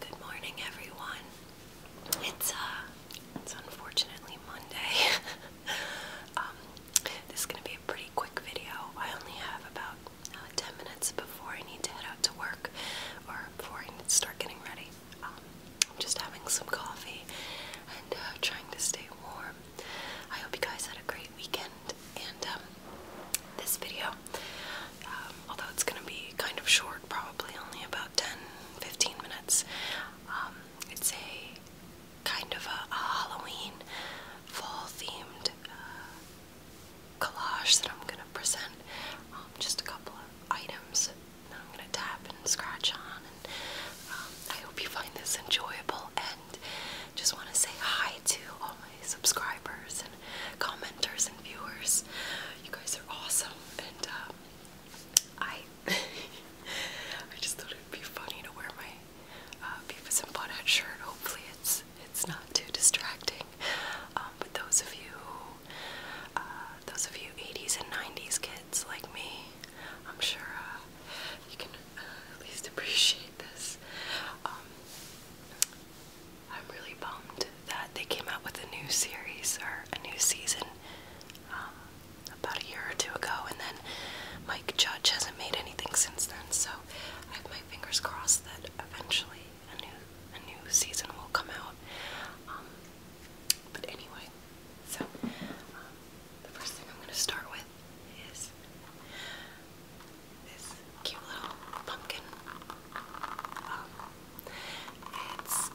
Good morning, everyone. It's uh, it's unfortunately Monday. Um, this is gonna be a pretty quick video. I only have about uh, ten minutes before I need to head out to work, or before I need to start getting ready. Um, I'm just having some coffee and uh, trying to stay warm. I hope you guys had a great weekend, and um, this video. Um, although it's going to be kind of short, probably only about 10 15 minutes. Um, it's a kind of a, Halloween fall themed uh, collage that I'm going to present. Um, just a couple of items that I'm going to tap and scratch on. And I hope you find this enjoyable and just want to say hi to all my subscribers commenters and viewers. You guys are awesome, and uh, I I just thought it'd be funny to wear my uh, Beavis and Butt-head shirt. Hopefully, it's it's not too distracting. Um, but those of you, uh, those of you '80s and '90s kids like me, I'm sure you can at least appreciate this. Um, I'm really bummed that they came out with a new series or a new season um, about a year or two ago, and then Mike Judge hasn't made anything since then. So I have my fingers crossed that eventually a new a new season will come out. Um, but anyway, so um, the first thing I'm going to start with is this cute little pumpkin. Um, it's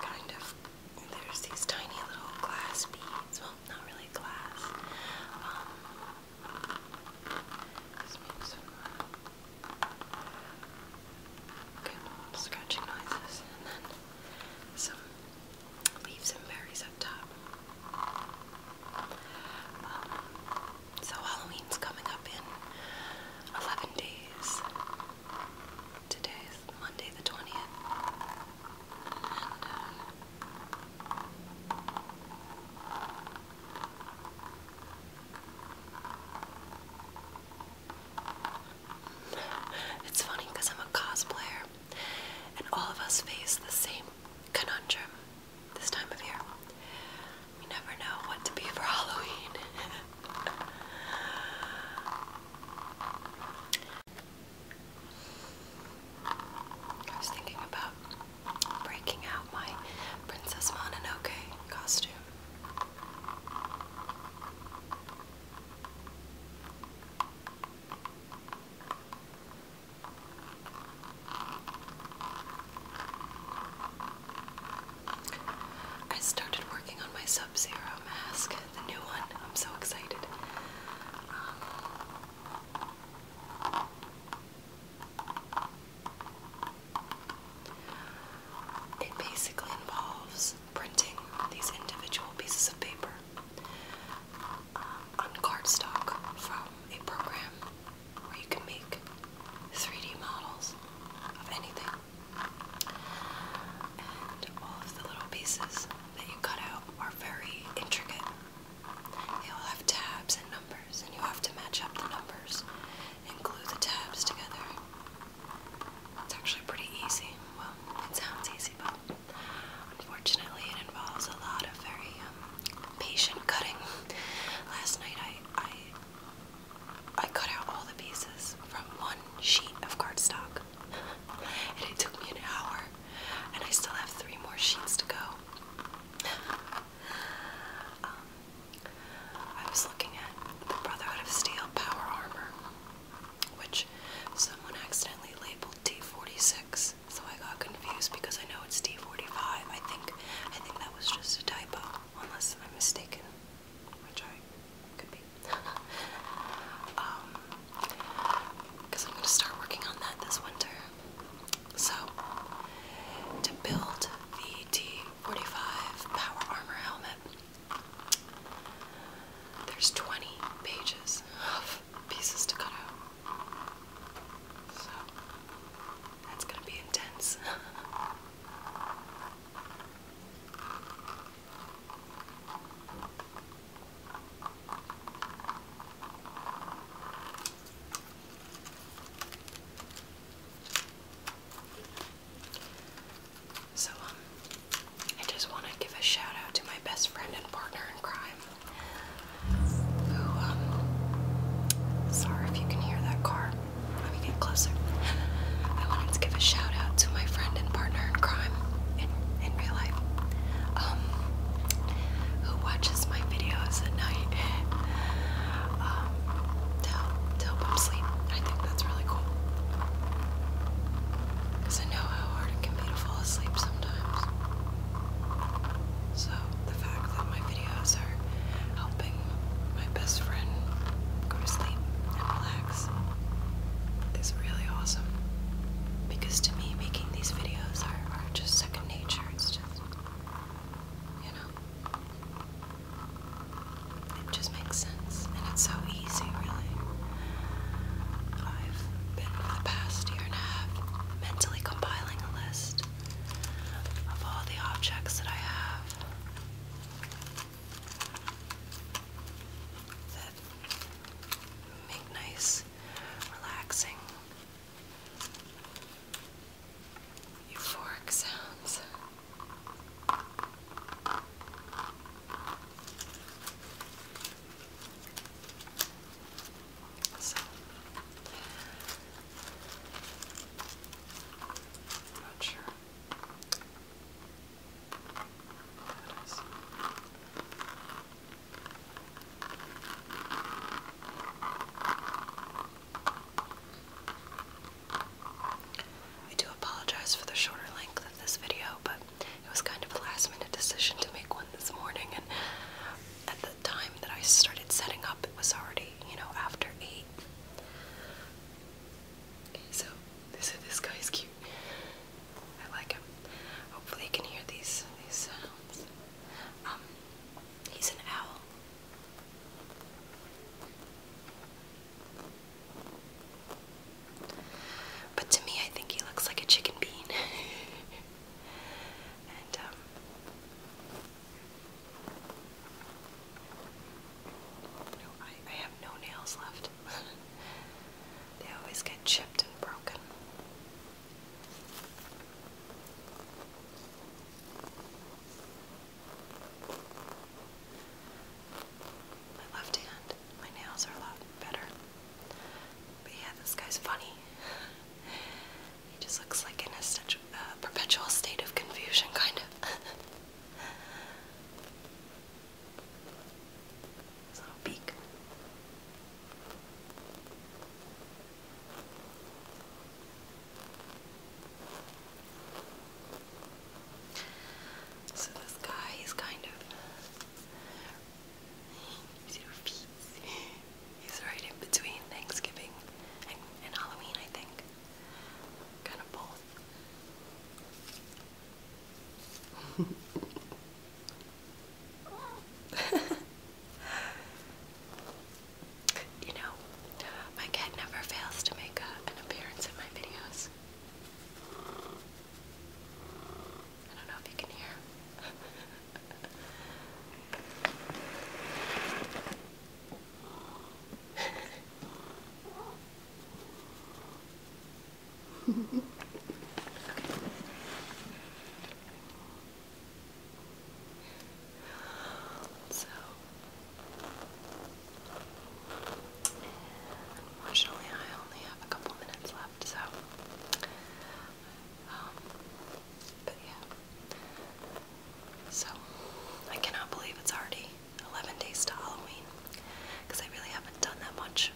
kind of there's these tiny little glass beads. Well, not really glass. Um, uh, scratching noises, and then some leaves and berries up top. Um, so Halloween's coming up in 11 days. Today is Monday the 20th. Uh, it's funny because I'm a cosplayer, and all of us face the same conundrum this time of year. You never know what to be for Halloween. I was thinking about breaking out my Princess Mononoke costume. I started working on my Sub Zero mask, the new one. I'm so excited. Um, it basically involves printing these individual pieces of paper um, on cardstock from a program where you can make 3D models of anything. And all of the little pieces that you cut out are very intricate. They all have tabs and numbers, and you have to match up the numbers and glue the tabs together. It's actually pretty easy. Well, it sounds easy, but unfortunately, it involves a lot of very um, patient cutting. Last night I I I cut out all the pieces from one sheet of cardstock. and it took me an hour. And I still have three more sheets to go. Um, I was looking at the Brotherhood of Steel Power Armor, which someone accidentally labeled T46 so I got confused because I know it's D45. I think I think that was just a typo, unless I'm mistaken, which I could be. Because um, I'm going to start working on that this winter. So, to build the T45 Power Armor helmet, there's 20 pages of pieces to cut out. So that's gonna be intense. So, um, I just want to give a shout out to my best friend and partner in crime, who, um, sorry if you can hear that car. Let me get closer. I wanted to give a shout out to my friend and partner in crime in, in real life, um, who watches my videos at night. Um, to help, to sleep. I think that's really cool. Because I know how hard it can be to fall asleep sometimes. So, the fact that my videos are helping my best friend go to sleep and relax is really awesome. Because to me, making these videos are, just second nature. It's just, you know, it just makes sense. And it's so easy, really. I've been for the past year and a half mentally compiling a list of all the objects that I have that make nice, relaxing, euphoric sounds i I do apologize for the shorter length of this video, but it was kind of a last minute decision to make one this morning, and at the time that I started setting up, it was already, you know, after 8. So, this, guy's cute. I like him. Hopefully you can hear these, these sounds. Um, he's an owl. But to me, I think he looks like a chicken bean. Um, I have no nails left. they always get chipped and broken. My left hand, my nails are a lot better. But yeah, this guy's funny. he just looks like in a uh, perpetual state of confusion, kind of. little beak. So this guy is kind of Zero right in between Thanksgiving and, Halloween, I think. Kind of both. you know, my cat never fails to make an appearance in my videos. I don't know if you can hear. okay. So, unfortunately, I only have a couple minutes left, so um, but yeah. So, I cannot believe it's already 11 days to Halloween because I really haven't done that much.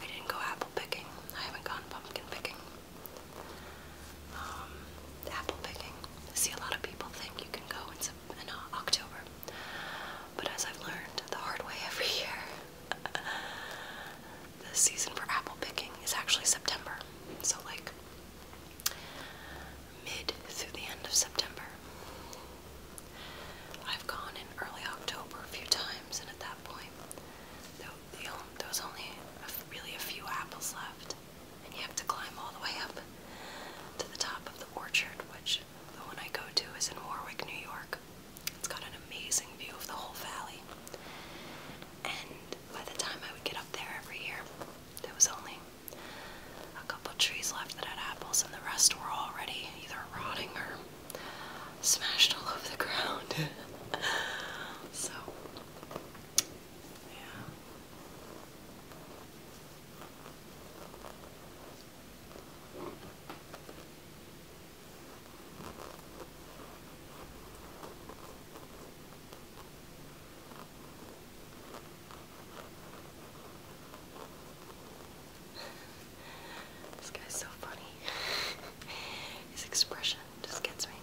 I didn't go apple picking, I haven't gone pumpkin picking. Um, apple picking. I see a lot of people think you can go in, uh, October, but as I've learned the hard way every year, the season for apple picking is actually September. So, like mid through the end of September. I've gone in early October a few times, and at that point, there was only really a few apples left. And you have to climb all the way up to the top of the orchard, which the one I go to is in Warwick, New York. It's got an amazing view of the whole valley. And by the time I would get up there every year, there was only a couple trees left that had apples, and the rest were already either rotting or smashed all over the ground. so, yeah this guy's so funny. His expression just gets me.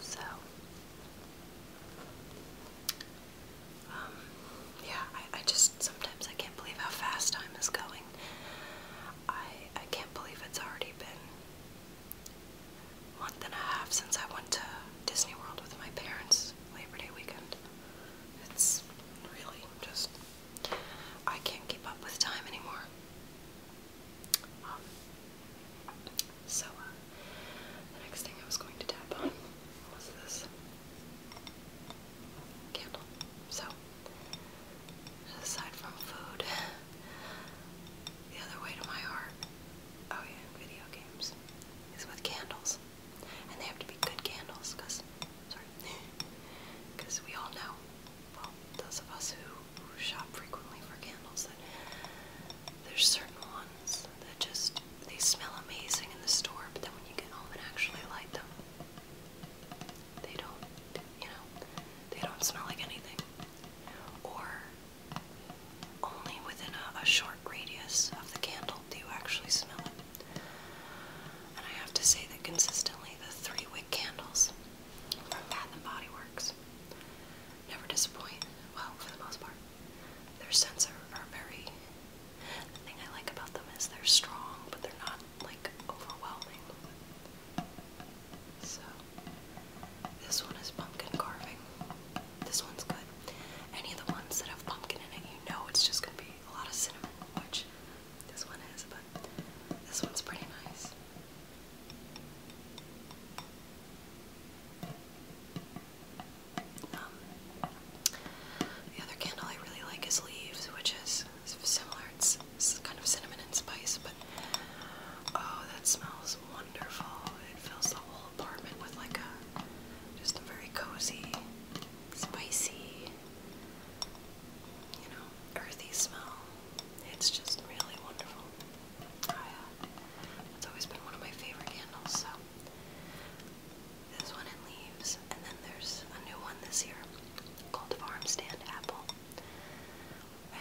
So, um, yeah, I, I just sometimes I can't believe how fast time is going. I I can't believe it's already been a month and a half since I went to Disney World with my parents Labor Day weekend. It's really just I can't keep up with time anymore. Um, so, uh, the next thing I was going to tap on was this candle. So, aside from food, the other way to my heart, oh yeah, video games, is with candles. And they have to be good candles, because, sorry, because we all know, well, those of us shop frequently for candles there's certain ones that just they smell amazing in the store, but then when you get home and actually light them, they don't, you know, they don't smell like anything. Or only within a, a short radius of the candle do you actually smell it. And I have to say that consistently the three wick candles from Bath and Body Works never disappoint. Well, for the most part. Their scents are, very. The thing I like about them is they're strong, but they're not like overwhelming. So, this one is pumpkin carving. This one's good. Any of the ones that have pumpkin in it, you know it's just gonna be a lot of cinnamon, which this one is, but this one's pretty nice. Um, the other candle I really like is Leaves, which is similar. it's kind of cinnamon and spice, but oh, that smells wonderful. It fills the whole apartment with like a just a very cozy, spicy, you know, earthy smell. It's just really wonderful. Oh, it's always been one of my favorite candles, so this one in leaves, and then there's a new one this year called Farm Stand Apple.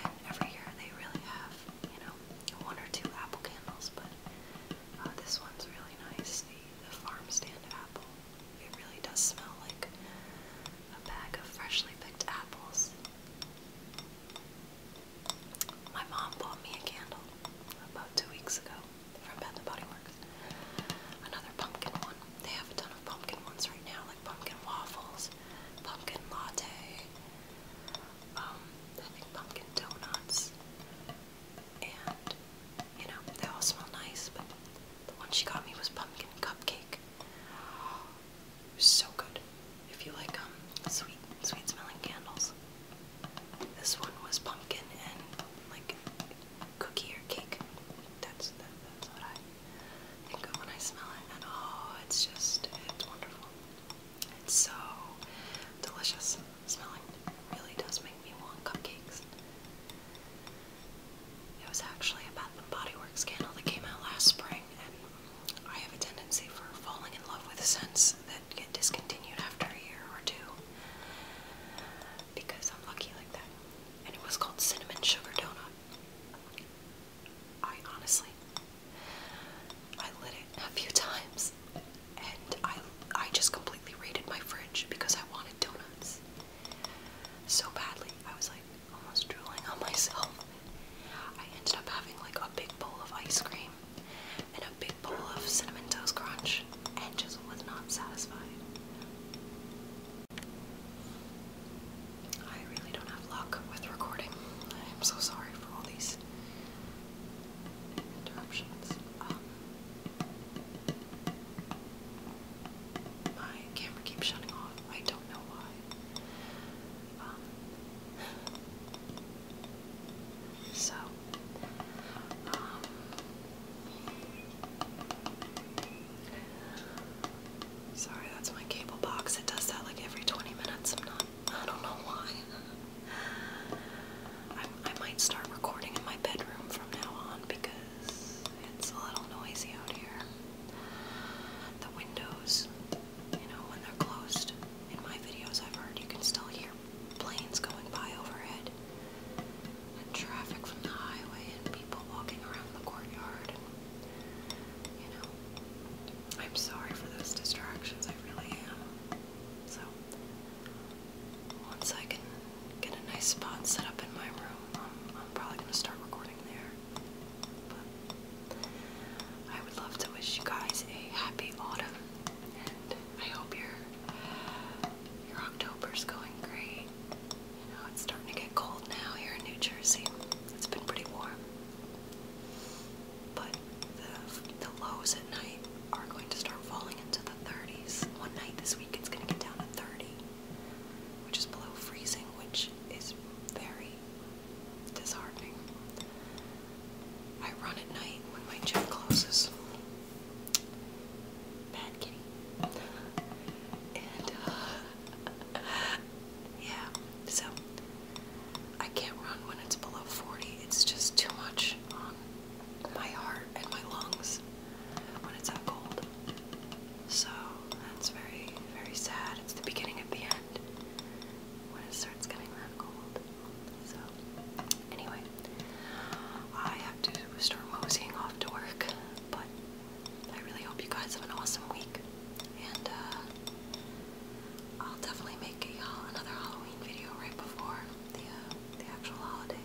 And every year they really have, you know, one or two apple candles, but uh, this one's really nice. The, the Farm Stand Apple. It really does smell like a bag of freshly picked apples. My mom bought me a candle about two weeks ago from Bath and Body Works. Another pumpkin one. They have a ton of pumpkin ones right now, like pumpkin waffles, pumpkin latte, um, I think pumpkin donuts, and you know, they all smell nice, but the one she got me was pumpkin cupcake. It was so good. If you like um sweet sweet smelling candles. This one was pumpkin and like cookie or cake. That's that, that's what I think of when I smell it. oh, it's just it's wonderful. It's so delicious smelling. really does make me want cupcakes. It was actually a Bath and Body Works candle that came out last spring, I have a tendency for falling in love with scents that get discontinued after a year or two because I'm lucky like that. And it was called Cinnamon Sugar Donut. I honestly, I lit it a few times and I, I just completely raided my fridge because I wanted donuts so badly. I was like, almost drooling on myself. I ended up having like a big bowl of ice cream and a big bowl of cinnamon toast crunch and just was not satisfied. I really don't have luck with recording. I am so sorry for all these interruptions. Um, my camera keeps shutting off. I don't know why so, um, sorry, that's my cable box. It does that like every 20 minutes. I'm not, I don't know why. I might start recording in my bedroom from now on because it's a little noisy out here the windows, you know, when they're closed. In my videos, I've heard you can still hear planes going by overhead, and traffic from the highway, and people walking around the courtyard. you know, I'm sorry for those distractions, I really am. So, once I can get a nice spot set up in my room, I'm, probably going to start recording there. I would love to wish you guys a happy autumn, and I hope your your October's going great. You know it's starting to get cold now here in New Jersey. It's been pretty warm, but the the lows at night are going to start falling into the 30s. One night this week it's going to get down to 30, which is below freezing, which is very disheartening. I run at night when my gym closes. Bad kitty. And, uh, yeah, so I can't run when it's below 40. It's just too much on my heart and my lungs when it's that cold. So that's very, very sad. It's the beginning of the end when it starts getting that cold. So, anyway, I have to start moseying off to work, but I really hope you guys have an awesome week, and uh, I'll definitely make a, uh, another Halloween video right before the, uh, actual holiday.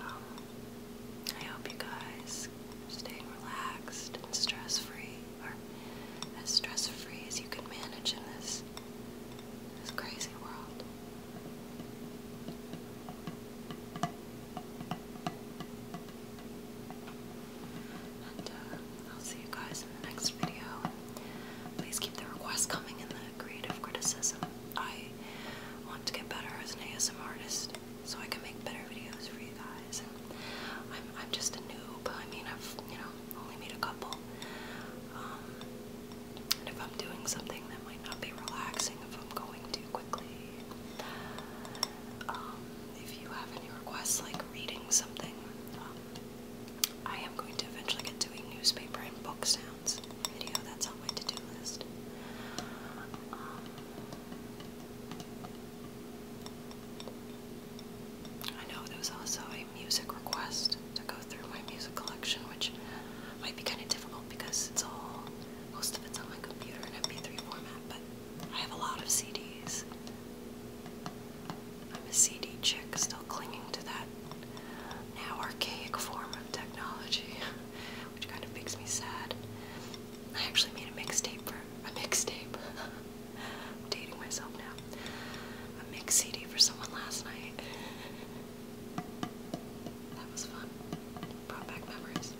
Um, I hope you guys are staying relaxed and stress free, or as stress free as you can manage in this, this crazy world. And uh, I'll see you guys in the next video. Please keep the requests coming in the creative criticism. I want to get better as an ASM artist so I can make better videos for you guys. I'm I'm just a noob. I mean, I've you know only made a couple. Um, and if I'm doing something that might not be relaxing, if I'm going too quickly, um, if you have any requests like reading something, um, I am going to eventually get to a newspaper and book sounds video. That's on my to-do list. I know there was also a music request to go through my music collection, which might be kind of difficult because it's all, most of it's on my computer in MP3 format, but I have a lot of CDs. I'm a CD chick, still clinging to that now archaic form of technology, which kind of makes me sad. I actually made a mixtape for a mixtape. I'm dating myself now. A mix CD for someone last night. that was fun. Brought back memories.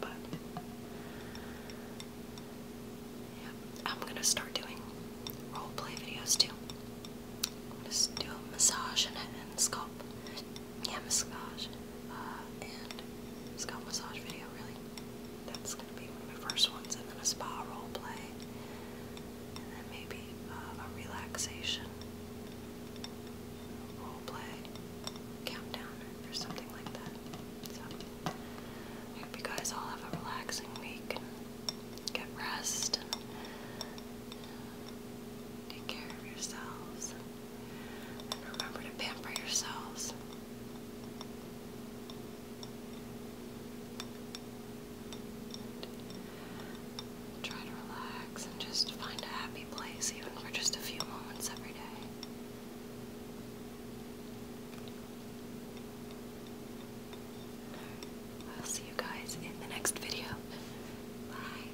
But yeah, I'm gonna start doing role play videos too. Just do a massage and, and scalp yeah, massage uh, and scalp massage video. Really, that's gonna be one of my first ones, and then a spa role play, and then maybe uh, a relaxation role play countdown or something like that. So I hope you guys all have a relaxing week get rest uh, Take care of yourselves. And remember to pamper yourselves. try to relax and just find a happy place, even for just a few moments every day. I'll see you guys in the next video. Bye.